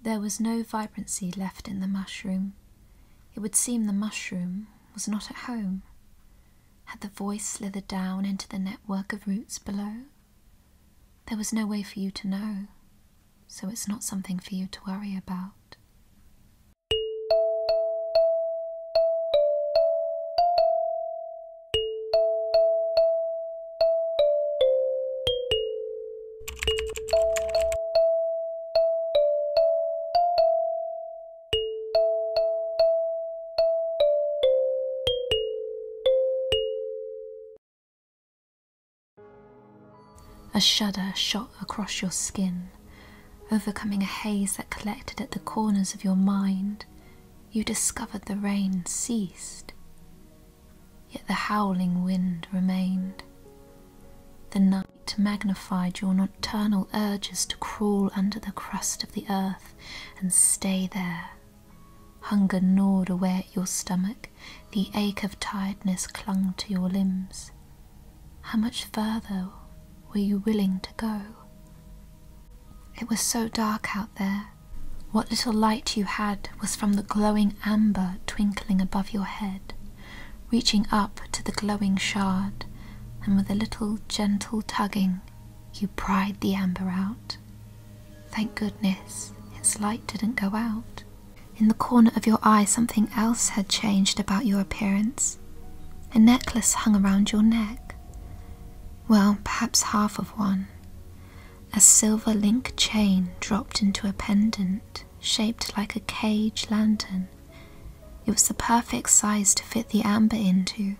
There was no vibrancy left in the mushroom. It would seem the mushroom was not at home. Had the voice slithered down into the network of roots below? There was no way for you to know, so it's not something for you to worry about. A shudder shot across your skin, overcoming a haze that collected at the corners of your mind. You discovered the rain ceased, yet the howling wind remained. The night magnified your nocturnal urges to crawl under the crust of the earth and stay there Hunger gnawed away at your stomach, the ache of tiredness clung to your limbs. How much further were you willing to go? It was so dark out there. What little light you had was from the glowing amber twinkling above your head, reaching up to the glowing shard, and with a little gentle tugging, you pried the amber out. Thank goodness its light didn't go out. In the corner of your eye, something else had changed about your appearance. A necklace hung around your neck. Well, perhaps half of one. A silver link chain dropped into a pendant, shaped like a cage lantern. It was the perfect size to fit the amber into.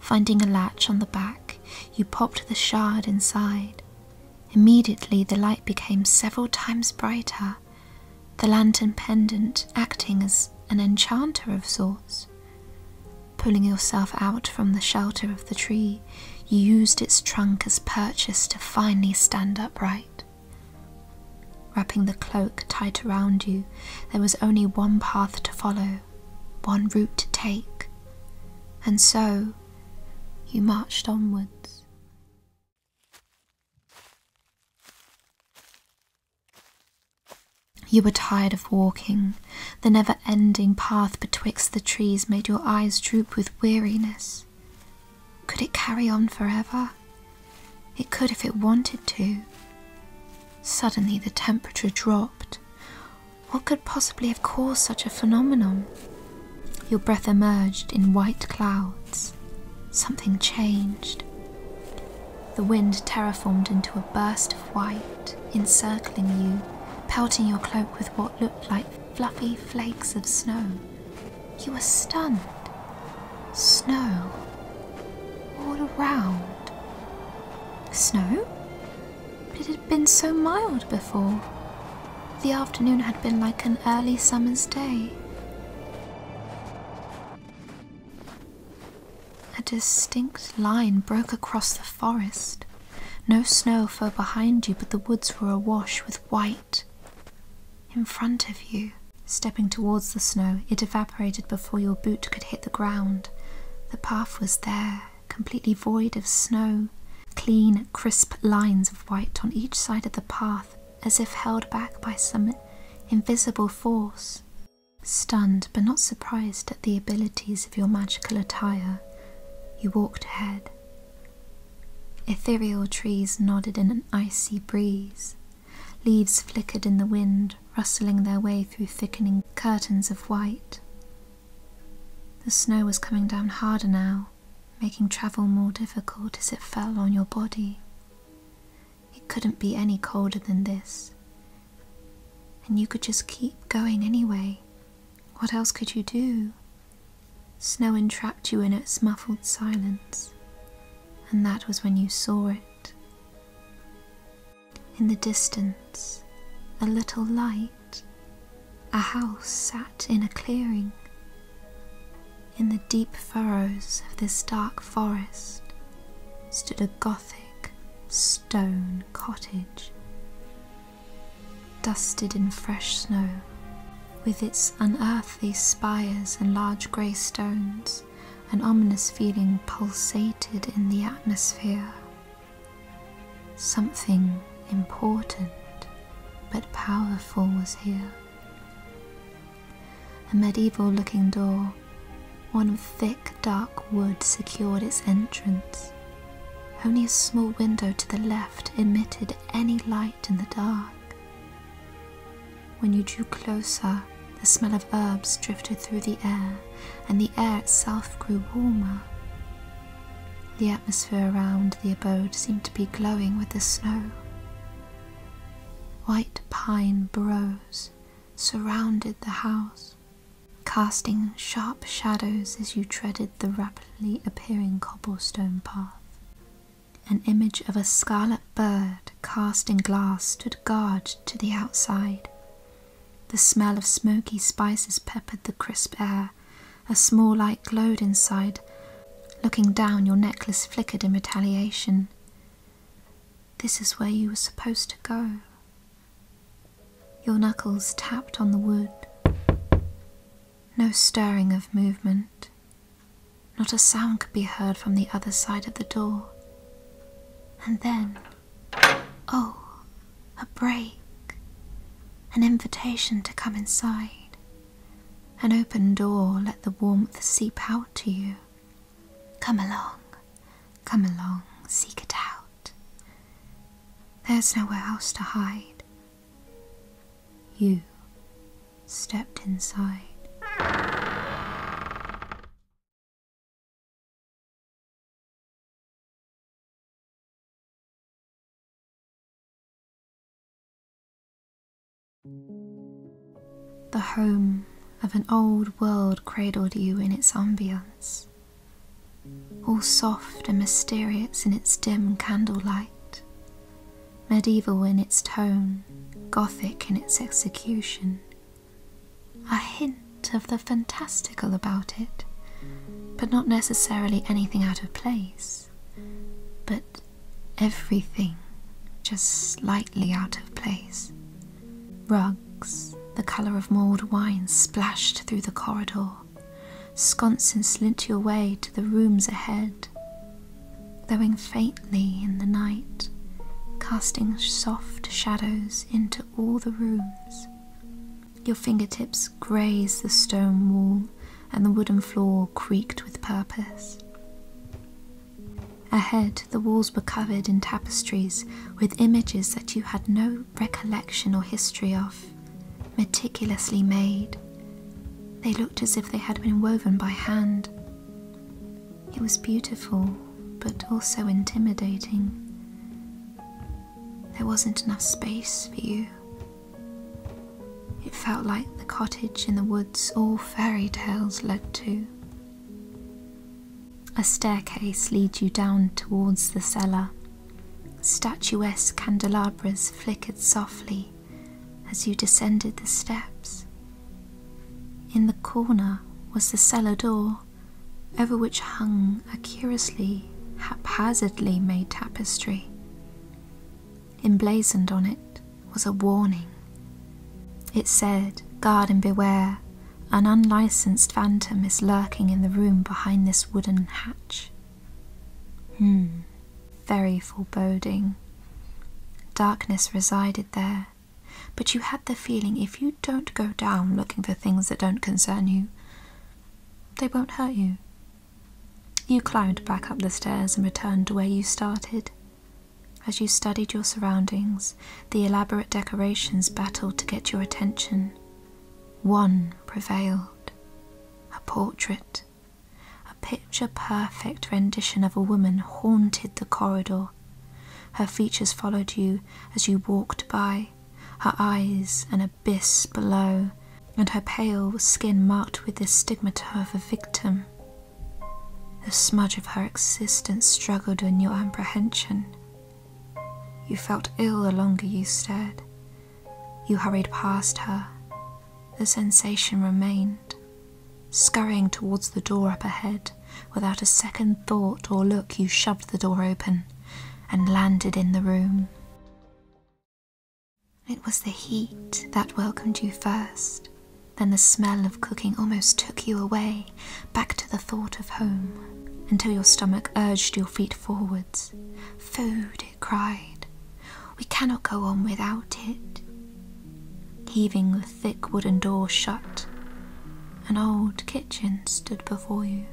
Finding a latch on the back, you popped the shard inside. Immediately the light became several times brighter, the lantern pendant acting as an enchanter of sorts. Pulling yourself out from the shelter of the tree, you used its trunk as purchase to finally stand upright. Wrapping the cloak tight around you, there was only one path to follow one route to take, and so you marched onwards. You were tired of walking. The never ending path betwixt the trees made your eyes droop with weariness. Could it carry on for ever? It could if it wanted to. Suddenly the temperature dropped. What could possibly have caused such a phenomenon? Your breath emerged in white clouds. Something changed. The wind terraformed into a burst of white, encircling you, pelting your cloak with what looked like fluffy flakes of snow. You were stunned. Snow all around. Snow? But it had been so mild before. The afternoon had been like an early summer's day. A distinct line broke across the forest. No snow fell behind you, but the woods were awash with white. In front of you, stepping towards the snow, it evaporated before your boot could hit the ground. The path was there, completely void of snow, clean, crisp lines of white on each side of the path, as if held back by some invisible force. Stunned but not surprised at the abilities of your magical attire, you walked ahead. Ethereal trees nodded in an icy breeze. Leaves flickered in the wind, rustling their way through thickening curtains of white. The snow was coming down harder now, making travel more difficult as it fell on your body. It couldn't be any colder than this. And you could just keep going anyway. What else could you do? Snow entrapped you in its muffled silence, and that was when you saw it. In the distance, a little light, a house sat in a clearing. In the deep furrows of this dark forest stood a Gothic stone cottage, dusted in fresh snow, with its unearthly spires and large grey stones an ominous feeling pulsated in the atmosphere. Something important but powerful was here. A medieval looking door, one of thick dark wood, secured its entrance. Only a small window to the left emitted any light in the dark. When you drew closer, the smell of herbs drifted through the air, and the air itself grew warmer. The atmosphere around the abode seemed to be glowing with the snow. White pine boughs surrounded the house, casting sharp shadows as you treaded the rapidly appearing cobblestone path. An image of a scarlet bird cast in glass stood guard to the outside. The smell of smoky spices peppered the crisp air. A small light glowed inside. Looking down, your necklace flickered in retaliation. This is where you were supposed to go. Your knuckles tapped on the wood. No stirring of movement. Not a sound could be heard from the other side of the door. And then, oh, a break, an invitation to come inside. An open door, let the warmth seep out to you. Come along, come along, seek it out. There's nowhere else to hide. You stepped inside. The home of an old world cradled you in its ambience, all soft and mysterious in its dim candlelight, medieval in its tone, gothic in its execution, a hint of the fantastical about it, but not necessarily anything out of place, but everything just slightly out of place. Rugs, the colour of mulled wine, splashed through the corridor. Sconces slint your way to the rooms ahead glowing faintly in the night, casting soft shadows into all the rooms. Your fingertips grazed the stone wall, and the wooden floor creaked with purpose. Ahead, the walls were covered in tapestries with images that you had no recollection or history of, meticulously made. They looked as if they had been woven by hand. It was beautiful, but also intimidating. There wasn't enough space for you. It felt like the cottage in the woods all fairy tales led to. A staircase led you down towards the cellar. Statuesque candelabras flickered softly as you descended the steps. In the corner was the cellar door, over which hung a curiously haphazardly made tapestry. Emblazoned on it was a warning. It said, Guard and beware, an unlicensed phantom is lurking in the room behind this wooden hatch. Hmm, very foreboding. Darkness resided there, but you had the feeling if you don't go down looking for things that don't concern you, they won't hurt you. You climbed back up the stairs and returned to where you started. As you studied your surroundings, the elaborate decorations battled to get your attention. One prevailed a portrait, picture perfect rendition of a woman haunted the corridor. Her features followed you as you walked by, her eyes an abyss below, and her pale skin marked with the stigmata of a victim. The smudge of her existence struggled in your apprehension. You felt ill the longer you stared. You hurried past her. The sensation remained, Scurrying towards the door up ahead, without a second thought or look, you shoved the door open and landed in the room. It was the heat that welcomed you first, then the smell of cooking almost took you away, back to the thought of home, until your stomach urged your feet forwards. Food, it cried. We cannot go on without it. Heaving with thick wooden door shut, an old kitchen stood before you.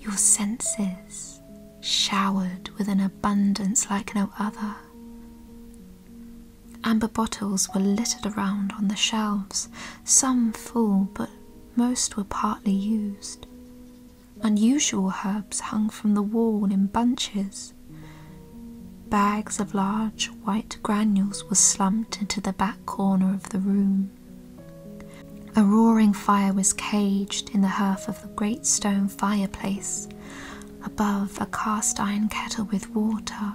Your senses showered with an abundance like no other. Amber bottles were littered around on the shelves, some full, but most were partly used. Unusual herbs hung from the wall in bunches. Bags of large white granules were slumped into the back corner of the room. A roaring fire was caged in the hearth of the great stone fireplace. Above, a cast iron kettle with water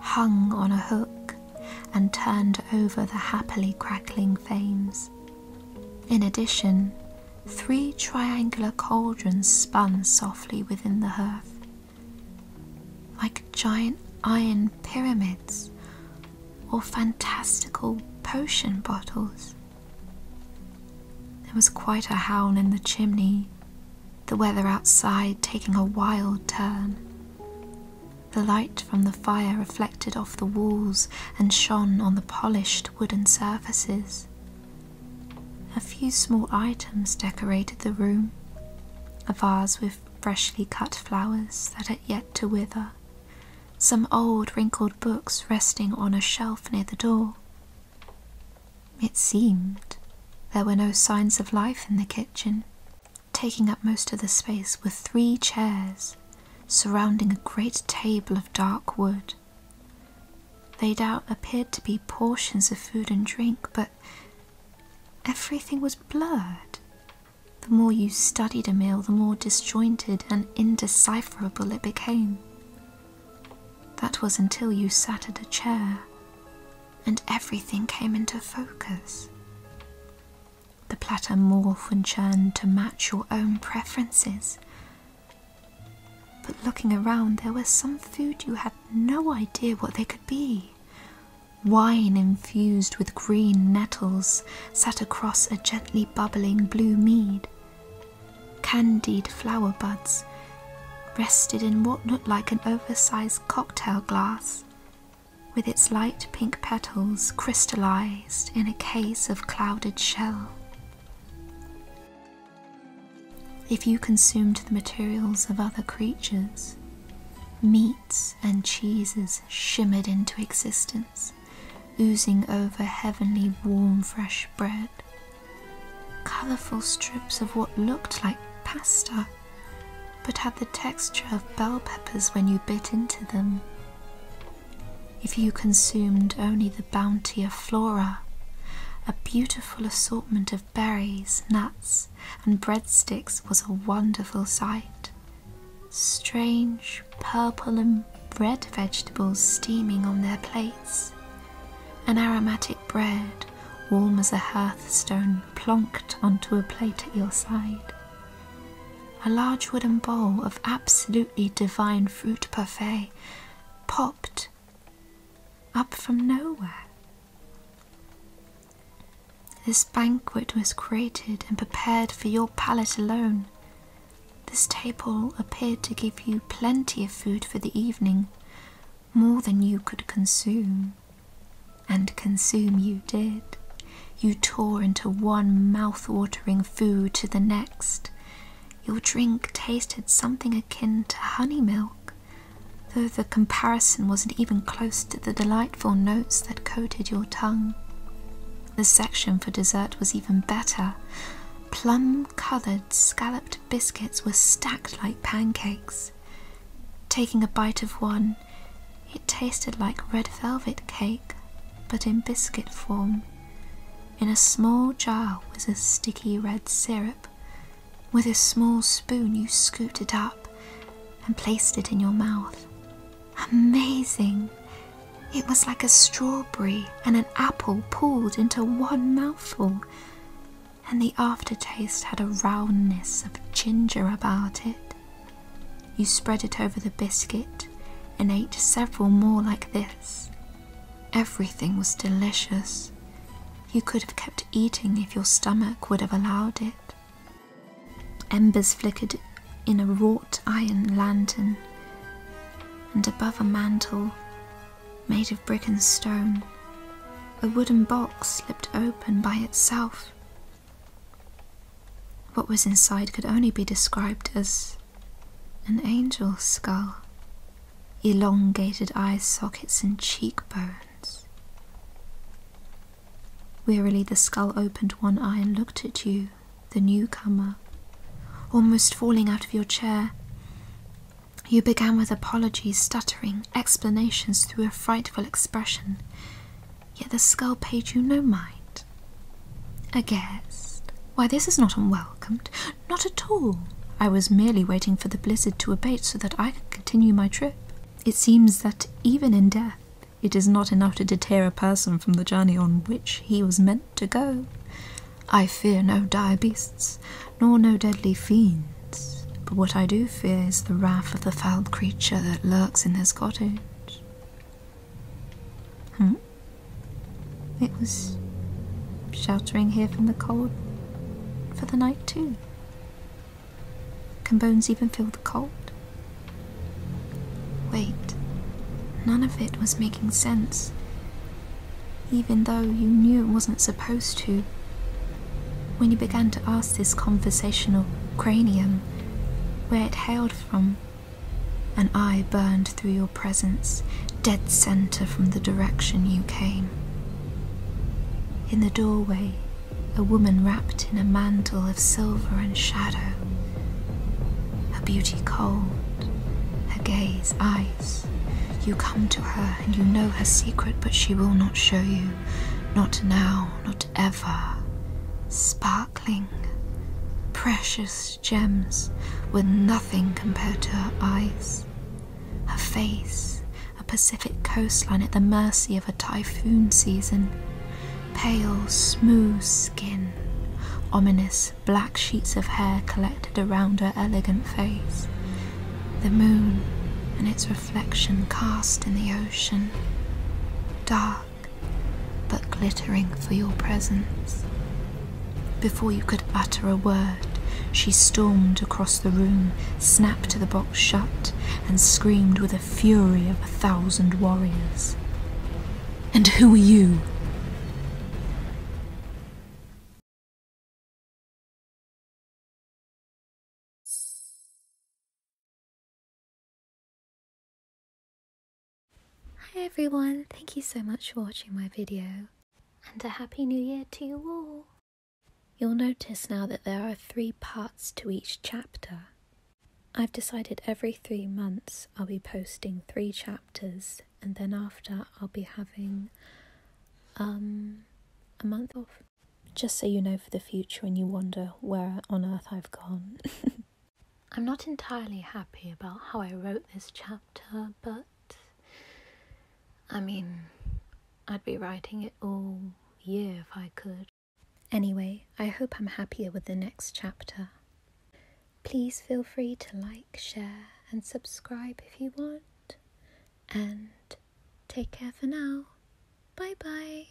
hung on a hook and turned over the happily crackling flames. In addition, Three triangular cauldrons spun softly within the hearth, like giant iron pyramids or fantastical potion bottles. There was quite a howl in the chimney, the weather outside taking a wild turn. The light from the fire reflected off the walls and shone on the polished wooden surfaces, a few small items decorated the room a vase with freshly cut flowers that had yet to wither, some old wrinkled books resting on a shelf near the door. It seemed there were no signs of life in the kitchen. Taking up most of the space were three chairs surrounding a great table of dark wood. Laid out appeared to be portions of food and drink, but everything was blurred. The more you studied a meal, the more disjointed and indecipherable it became. That was until you sat at a chair and everything came into focus. The platter morphed and churned to match your own preferences, but looking around, there were some food you had no idea what they could be. Wine infused with green nettles sat across a gently bubbling blue mead. Candied flower buds rested in what looked like an oversized cocktail glass, with its light pink petals crystallized in a case of clouded shell. If you consumed the materials of other creatures, meats and cheeses shimmered into existence, oozing over heavenly warm fresh bread. Colourful strips of what looked like pasta, but had the texture of bell peppers when you bit into them if you consumed only the bounty of flora, a beautiful assortment of berries, nuts, and breadsticks was a wonderful sight. Strange purple and red vegetables steaming on their plates, an aromatic bread, warm as a hearthstone, plonked onto a plate at your side. A large wooden bowl of absolutely divine fruit parfait popped up from nowhere. This banquet was created and prepared for your palate alone. This table appeared to give you plenty of food for the evening, more than you could consume. And consume you did. You tore into one mouth-watering food to the next, your drink tasted something akin to honey milk, though the comparison wasn't even close to the delightful notes that coated your tongue. The section for dessert was even better. Plum coloured scalloped biscuits were stacked like pancakes. Taking a bite of one, it tasted like red velvet cake, but in biscuit form. In a small jar was a sticky red syrup. With a small spoon, you scooped it up and placed it in your mouth. Amazing! It was like a strawberry and an apple pulled into one mouthful, and the aftertaste had a roundness of ginger about it. You spread it over the biscuit and ate several more like this. Everything was delicious. You could have kept eating if your stomach would have allowed it. Embers flickered in a wrought iron lantern, and above a mantel made of brick and stone, a wooden box slipped open by itself. What was inside could only be described as an angel's skull, elongated eye sockets and cheekbones. Wearily, the skull opened one eye and looked at you, the newcomer, almost falling out of your chair. You began with apologies, stuttering, explanations through a frightful expression, yet the skull paid you no mind. A guest? Why, this is not unwelcomed. Not at all. I was merely waiting for the blizzard to abate so that I could continue my trip. It seems that even in death, it is not enough to deter a person from the journey on which he was meant to go. I fear no dire beasts, nor no deadly fiends, but what I do fear is the wrath of the foul creature that lurks in his cottage. Hmm? It was sheltering here from the cold for the night too. Can bones even feel the cold? Wait, none of it was making sense. Even though you knew it wasn't supposed to. When you began to ask this conversational cranium where it hailed from, an eye burned through your presence, dead center from the direction you came. In the doorway, a woman wrapped in a mantle of silver and shadow, her beauty cold, her gaze eyes. You come to her and you know her secret, but she will not show you. Not now, not ever. Spy sparkling, precious gems were nothing compared to her eyes. Her face, a Pacific coastline at the mercy of a typhoon season, pale, smooth skin, ominous black sheets of hair collected around her elegant face, the moon and its reflection cast in the ocean. Dark, but glittering for your presence. Before you could utter a word, she stormed across the room, snapped the box shut, and screamed with the fury of a thousand warriors. And who are you? Hi everyone, thank you so much for watching my video, and a happy new year to you all! You'll notice now that there are three parts to each chapter. I've decided every three months I'll be posting three chapters, and then after I'll be having um, a month off. Just so you know for the future when you wonder where on earth I've gone. I'm not entirely happy about how I wrote this chapter, but I mean, I'd be writing it all year if I could. Anyway, I hope I'm happier with the next chapter. Please feel free to like, share, and subscribe if you want. And take care for now. Bye bye.